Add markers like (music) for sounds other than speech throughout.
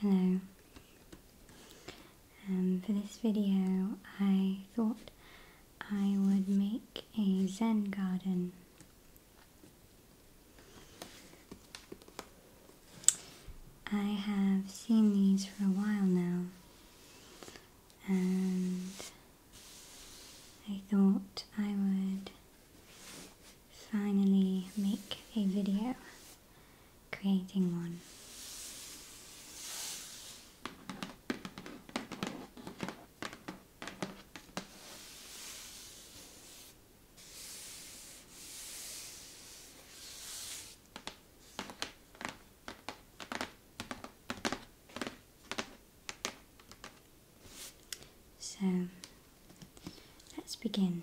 Hello. Um, for this video, I thought I would make a Zen garden. I have seen these for a while now, and I thought I would finally make a video creating one. So let's begin.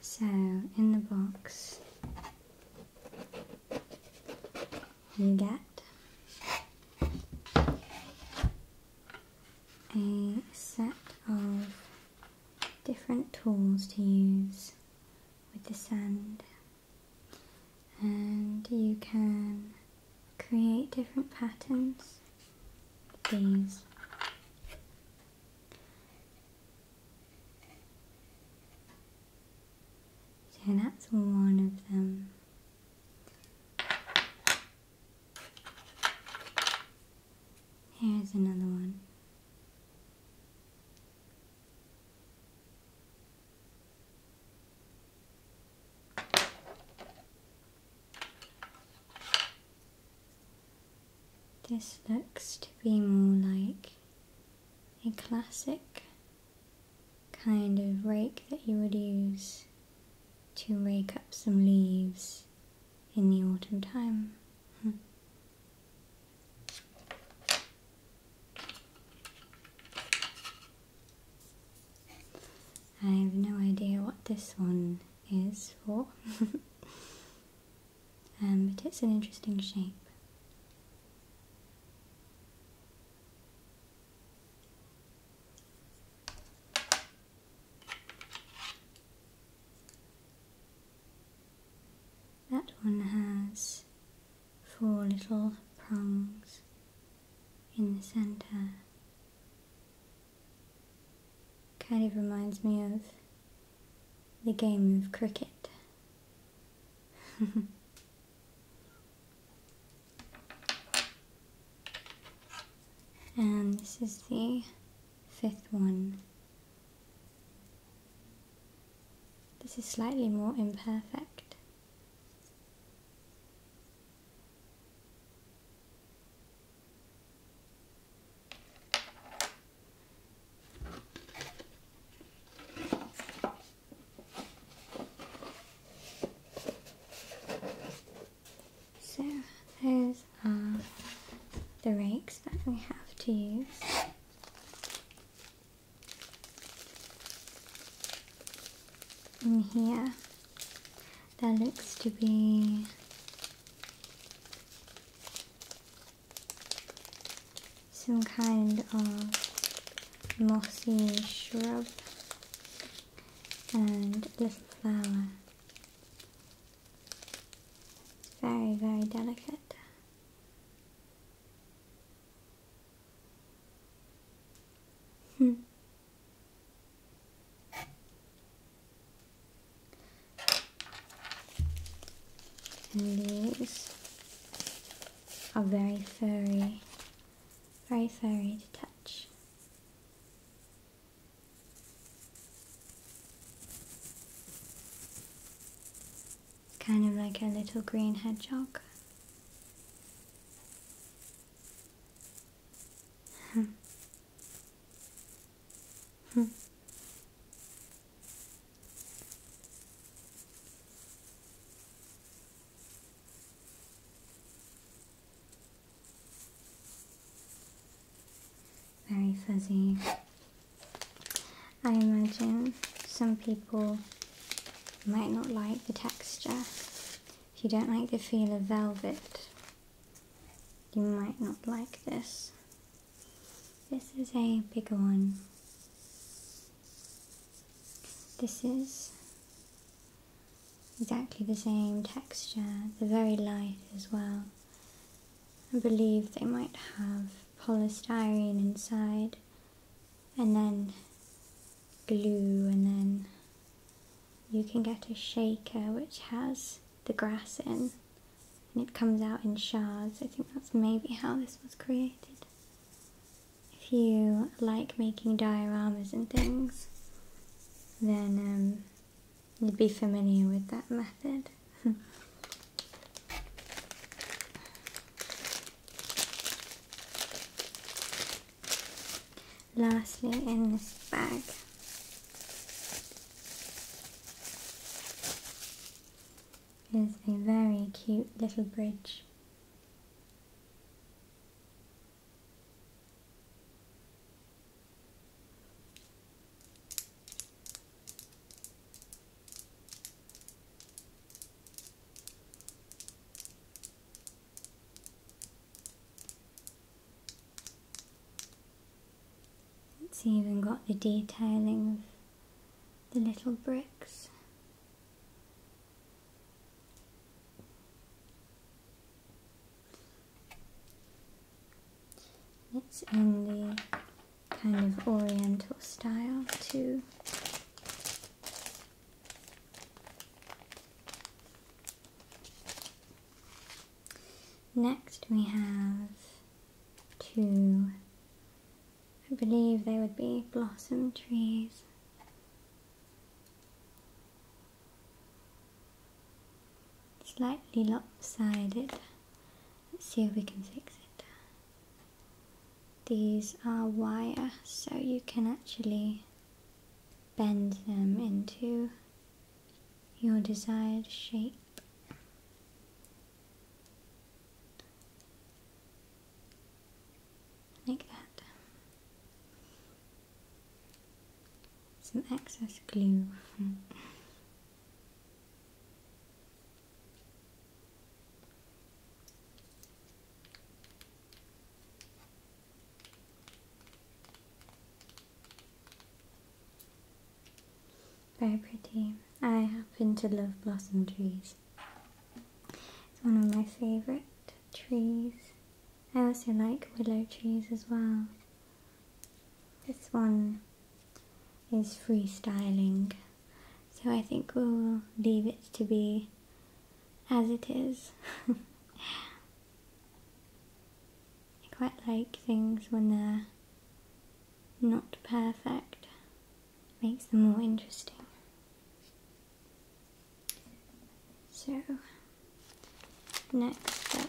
So, in the box, you get a set of different tools to use with the sand, and you can create different patterns. These. So that's one of them. Here's another one. This looks to be more like a classic kind of rake that you would use to rake up some leaves in the autumn time. Hmm. I have no idea what this one is for, (laughs) um, but it's an interesting shape. That one has four little prongs in the center. Kind of reminds me of the game of cricket. (laughs) and this is the fifth one. This is slightly more imperfect. So those are uh, the rakes that we have to use in here that looks to be some kind of mossy shrub and little flower. Very, very delicate. Hmm. And these are very furry, very furry to touch. Kind of like a little green hedgehog. Very fuzzy. I imagine some people might not like the texture if you don't like the feel of velvet, you might not like this. This is a bigger one. This is exactly the same texture, the very light as well. I believe they might have polystyrene inside and then glue and then you can get a shaker which has the grass in and it comes out in shards. I think that's maybe how this was created. If you like making dioramas and things, then um, you'd be familiar with that method. (laughs) Lastly, in this bag, is a very cute little bridge. It's even got the detailing of the little bricks. It's in the kind of oriental style too. Next we have two, I believe they would be blossom trees. Slightly lopsided. Let's see if we can fix it these are wire so you can actually bend them into your desired shape. Like that. Some excess glue. (laughs) Very pretty. I happen to love blossom trees. It's one of my favourite trees. I also like willow trees as well. This one is freestyling so I think we'll leave it to be as it is. (laughs) I quite like things when they're not perfect. makes them more interesting. So, next up.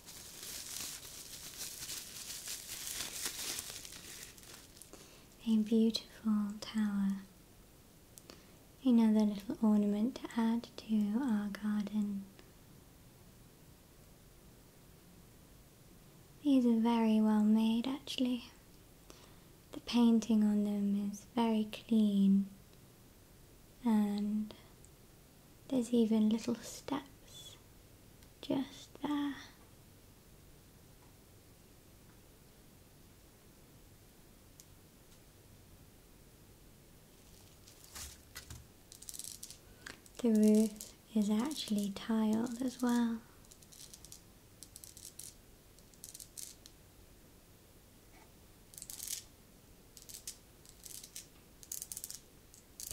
A beautiful tower. Another little ornament to add to our garden. These are very well made actually. The painting on them is very clean and there's even little steps just there. The roof is actually tiled as well.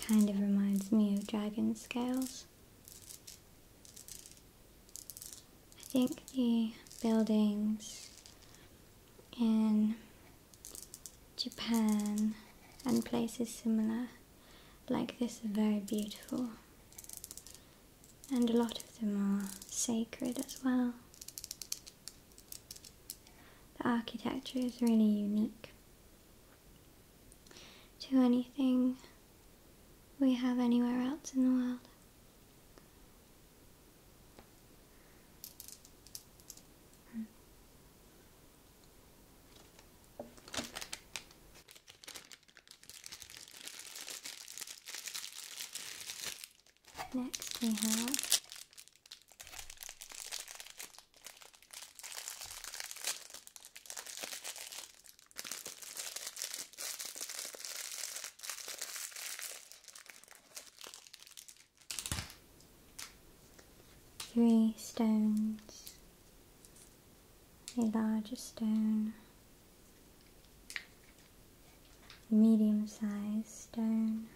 Kind of reminds me of dragon scales. I think the buildings in Japan and places similar like this are very beautiful. And a lot of them are sacred as well. The architecture is really unique to anything we have anywhere else in the world. Hmm. Next we have Three stones, a larger stone, medium sized stone.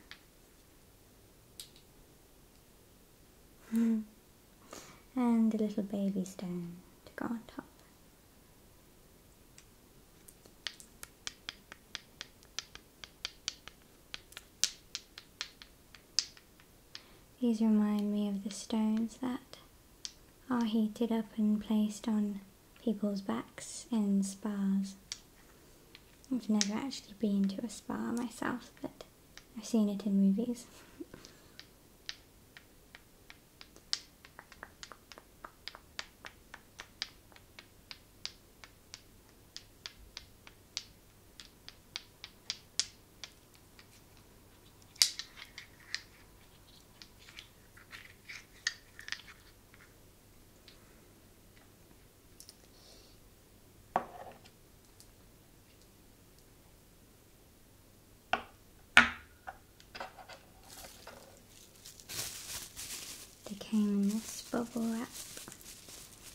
Hmm and a little baby stone to go on top. These remind me of the stones that are heated up and placed on people's backs in spas. I've never actually been to a spa myself, but I've seen it in movies. They came in this bubble wrap.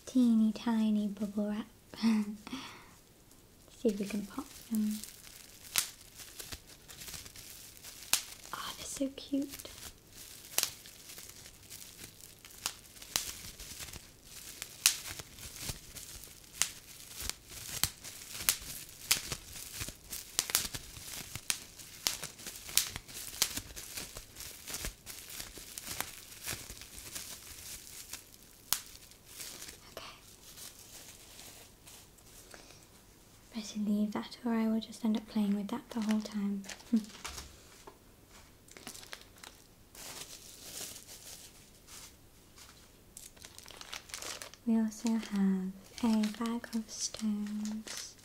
Teeny tiny bubble wrap. (laughs) See if we can pop them. Oh, they're so cute. Better leave that or I will just end up playing with that the whole time. (laughs) We also have a bag of stones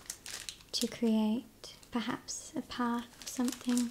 to create perhaps a path or something.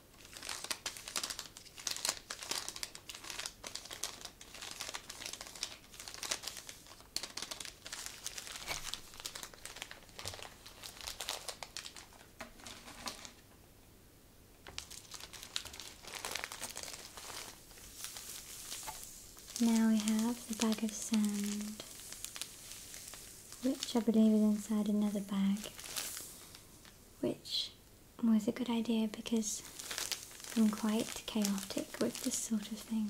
Now we have the bag of sand, which I believe is inside another bag which was a good idea because I'm quite chaotic with this sort of thing.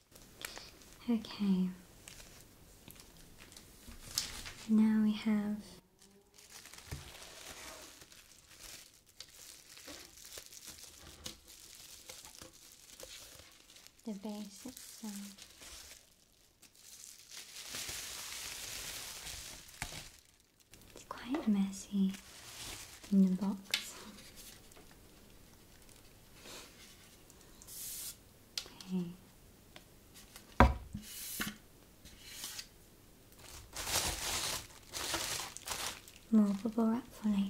Okay. Now we have the base itself. It's quite messy in the box. Okay. More bubble wrap for later.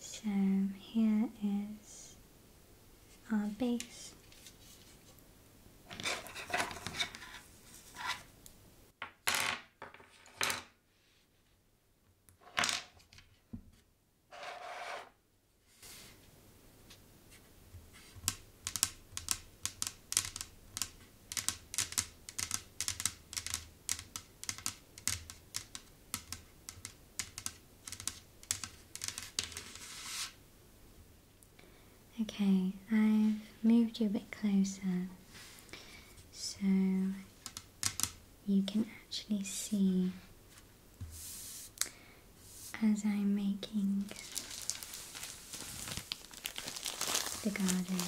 So here is our base. Okay, I've moved you a bit closer so you can actually see as I'm making the garden.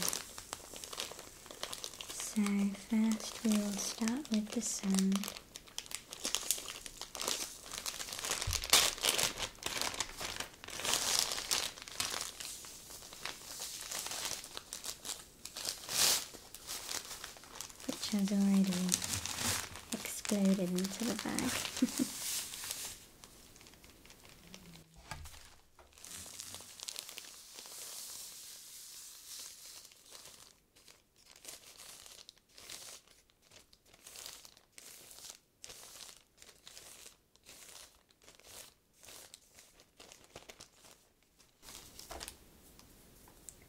So first we will start with the sun, which has already exploded into the bag. (laughs)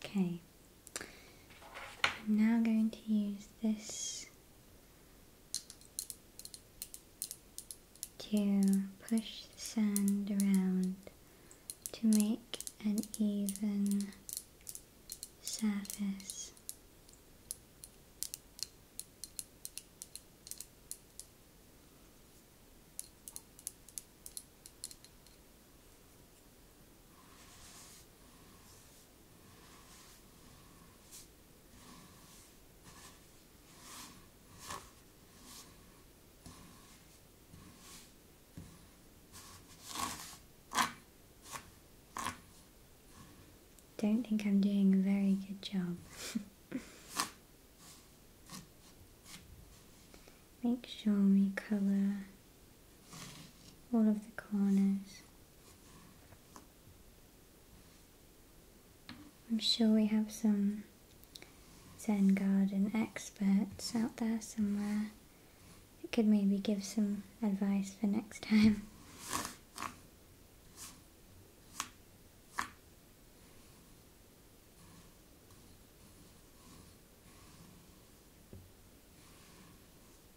Okay, I'm now going to use this to push the sand around to make an even surface. Don't think I'm doing a very good job. (laughs) Make sure we color all of the corners. I'm sure we have some Zen garden experts out there somewhere that could maybe give some advice for next time.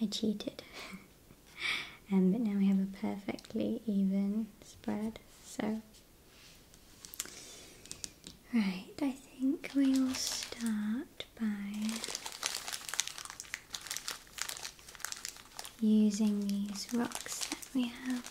I cheated. (laughs) Um, but now we have a perfectly even spread. So, right, I think we'll start by using these rocks that we have.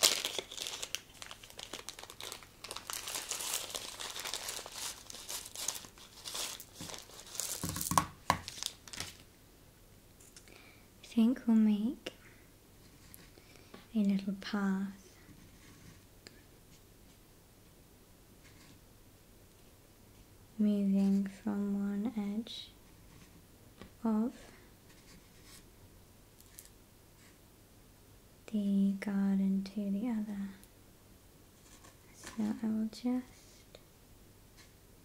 I think we'll make a little path moving from one edge of the garden to the other. So I will just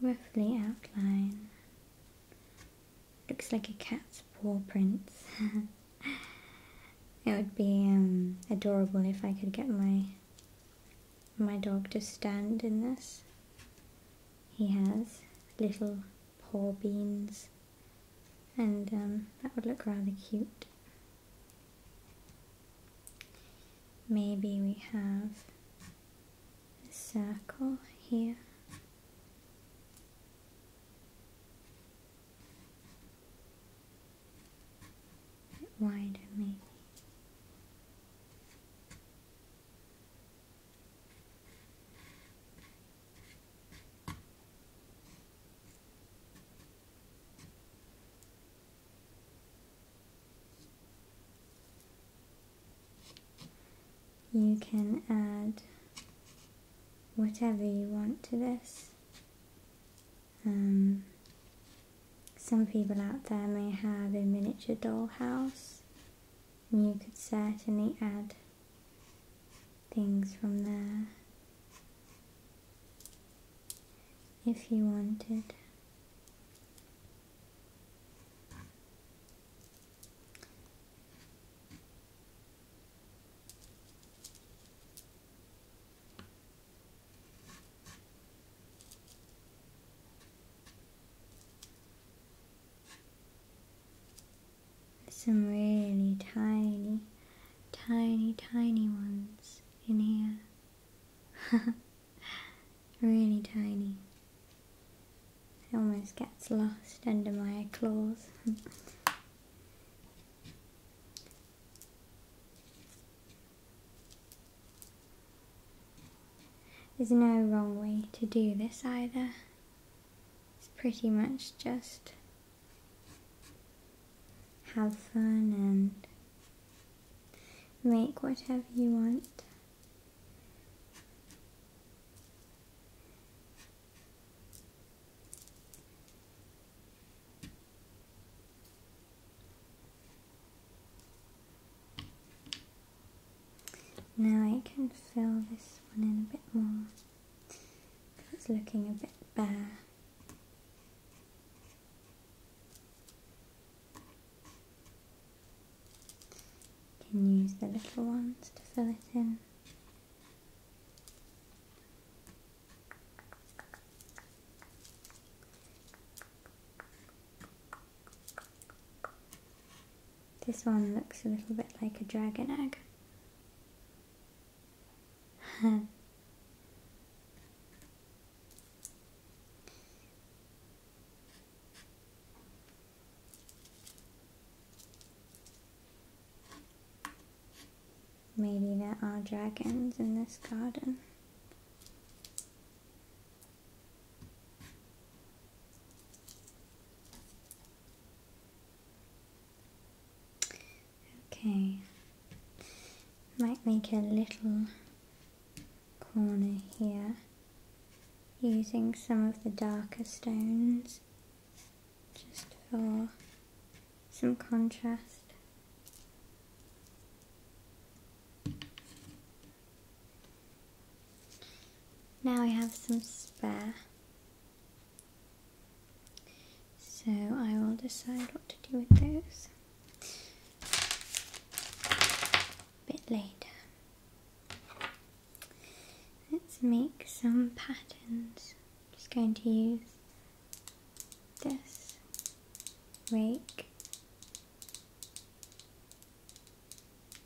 roughly outline. Looks like a cat's paw prints. (laughs) it would be um, adorable if I could get my my dog to stand in this. He has little paw beans and um, that would look rather cute. Maybe we have a circle here. wider maybe you can add whatever you want to this. Um, some people out there may have a miniature dollhouse. You could certainly add things from there if you wanted some really tiny, tiny, tiny ones in here. (laughs) really tiny. It almost gets lost under my claws. (laughs) There's no wrong way to do this either. It's pretty much just have fun and make whatever you want. Now I can fill this one in a bit more. It's looking a bit bare. You can use the little ones to fill it in. This one looks a little bit like a dragon egg. (laughs) Maybe there are dragons in this garden. Okay, might make a little corner here using some of the darker stones just for some contrast. Now we have some spare so I will decide what to do with those a bit later. Let's make some patterns. I'm just going to use this rake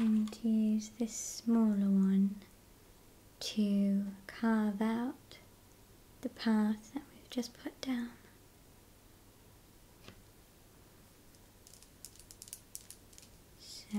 I'm going to use this smaller one to carve out the path that we've just put down. So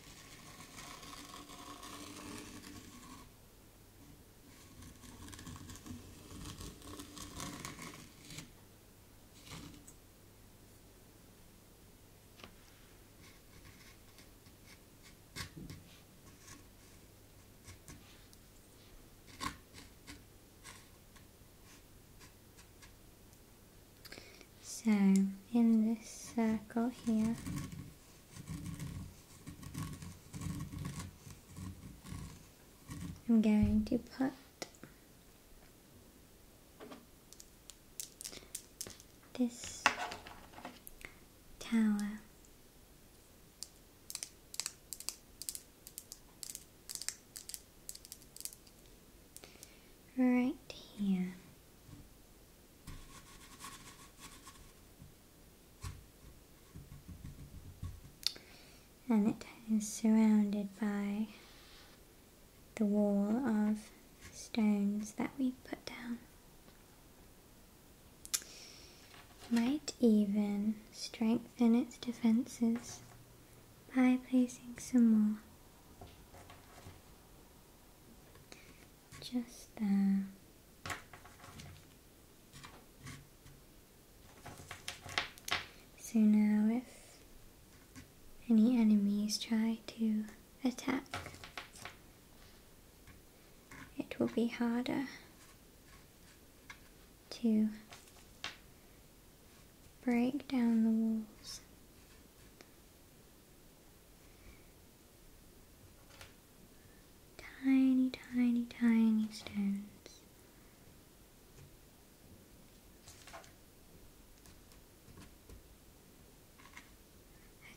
So in this circle here, I'm going to put this tower right here and it is surrounded by the wall of stones that we put down. Might even strengthen its defenses by placing some more just uh, so now if any enemies try to attack it will be harder to break down the walls Tiny, tiny, tiny stones.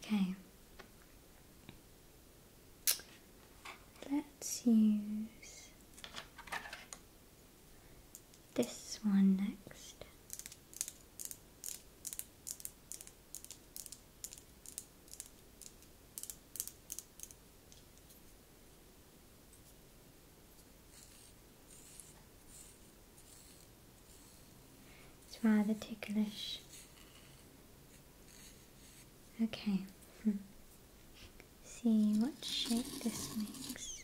Okay. Let's use this one next. It's rather ticklish. Okay, hmm. see what shape this makes.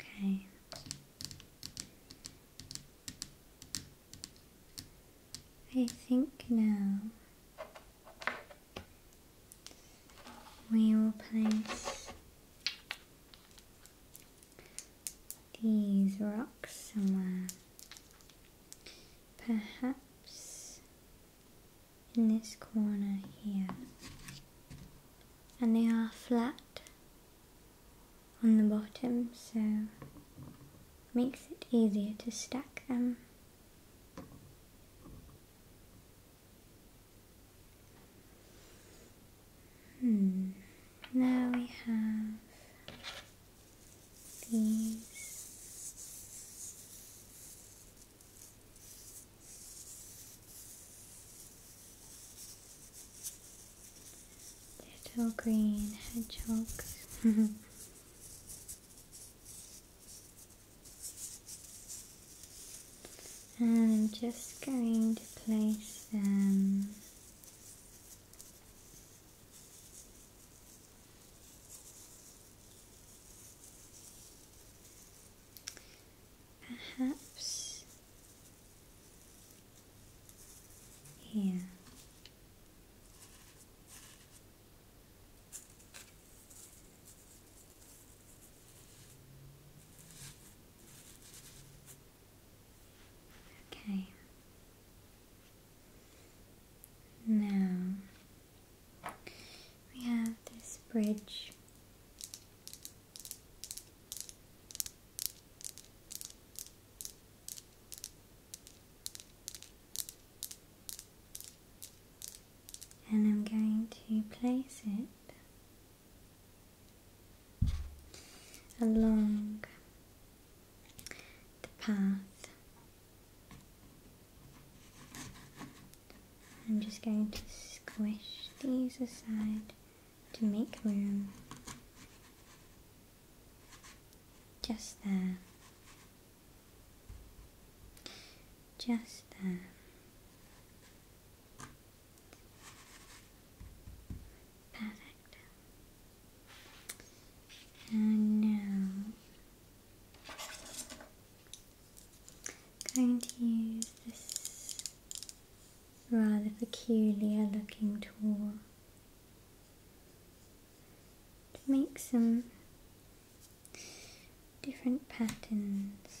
Okay. I think now we will place these rocks somewhere perhaps in this corner here, and they are flat on the bottom, so makes it easier to stack them. Hmm. Now we have Little green hedgehogs. (laughs) and I'm just going to place them Perhaps here. Okay. Now we have this bridge. And I'm going to place it along the path. I'm just going to squish these aside to make room. Just there. Just there. Perfect. And now Going to use this rather peculiar looking tool to make some different patterns.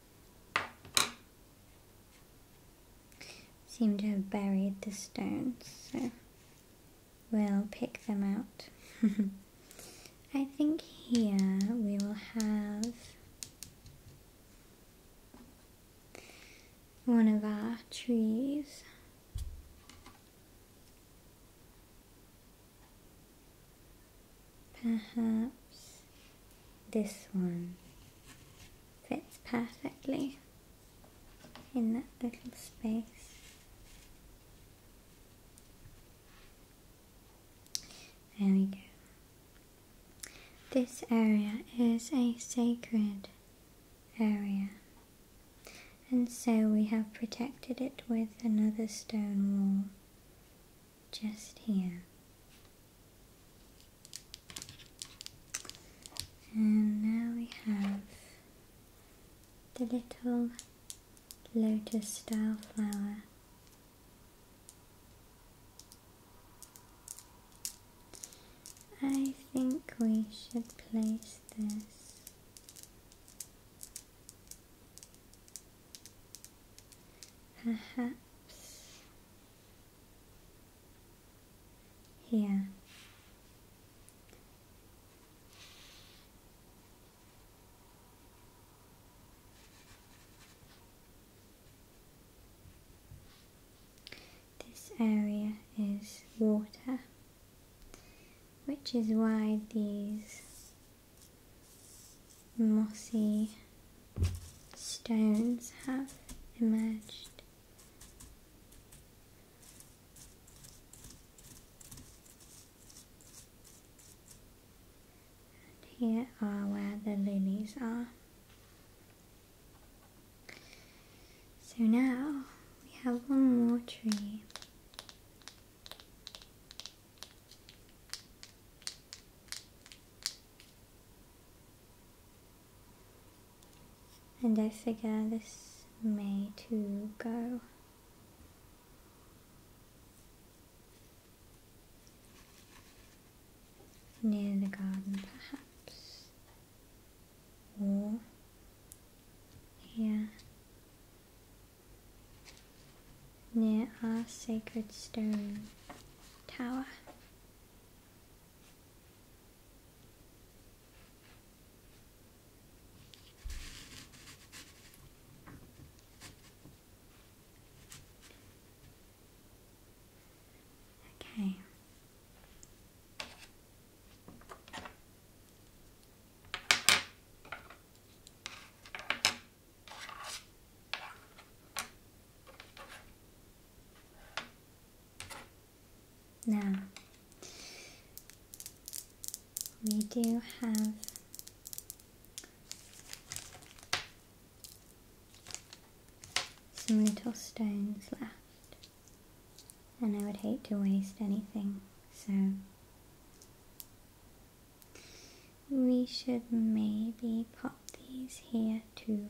Seem to have buried the stones, so we'll pick them out. (laughs) I think here we will have one of our trees. Perhaps this one fits perfectly in that little space. There we go. This area is a sacred area and so we have protected it with another stone wall just here. And now we have the little lotus style flower. I think we should place this perhaps here. This area is water, which is why these mossy stones have emerged. And here are where the lilies are. So now we have one more tree. And I figure this may too go. Near the garden perhaps. Or here near our sacred stone tower. Okay. Now, we do have some little stones left, and I would hate to waste anything, so we should maybe put these here too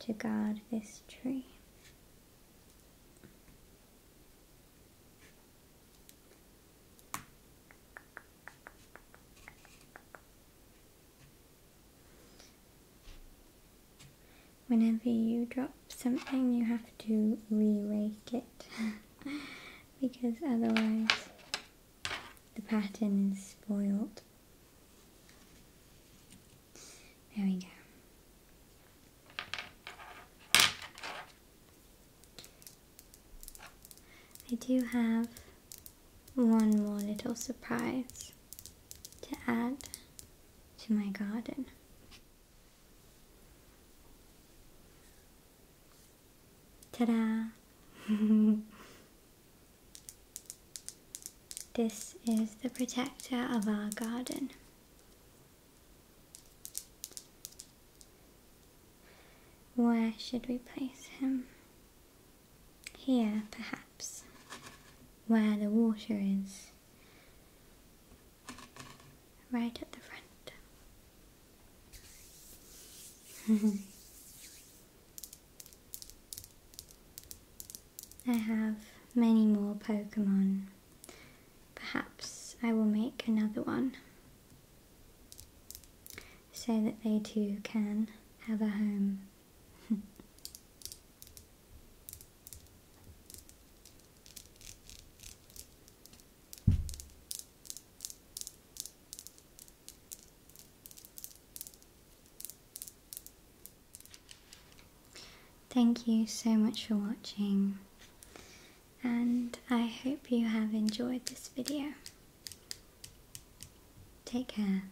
to guard this tree. Whenever you drop something, you have to re-rake it. (laughs) because otherwise the pattern is spoiled. There we go. I do have one more little surprise to add to my garden ta (laughs) this is the protector of our garden. Where should we place him? Here, perhaps, where the water is right at the front. I have many more Pokemon. Perhaps I will make another one so that they too can have a home. Thank you so much for watching and I hope you have enjoyed this video. Take care.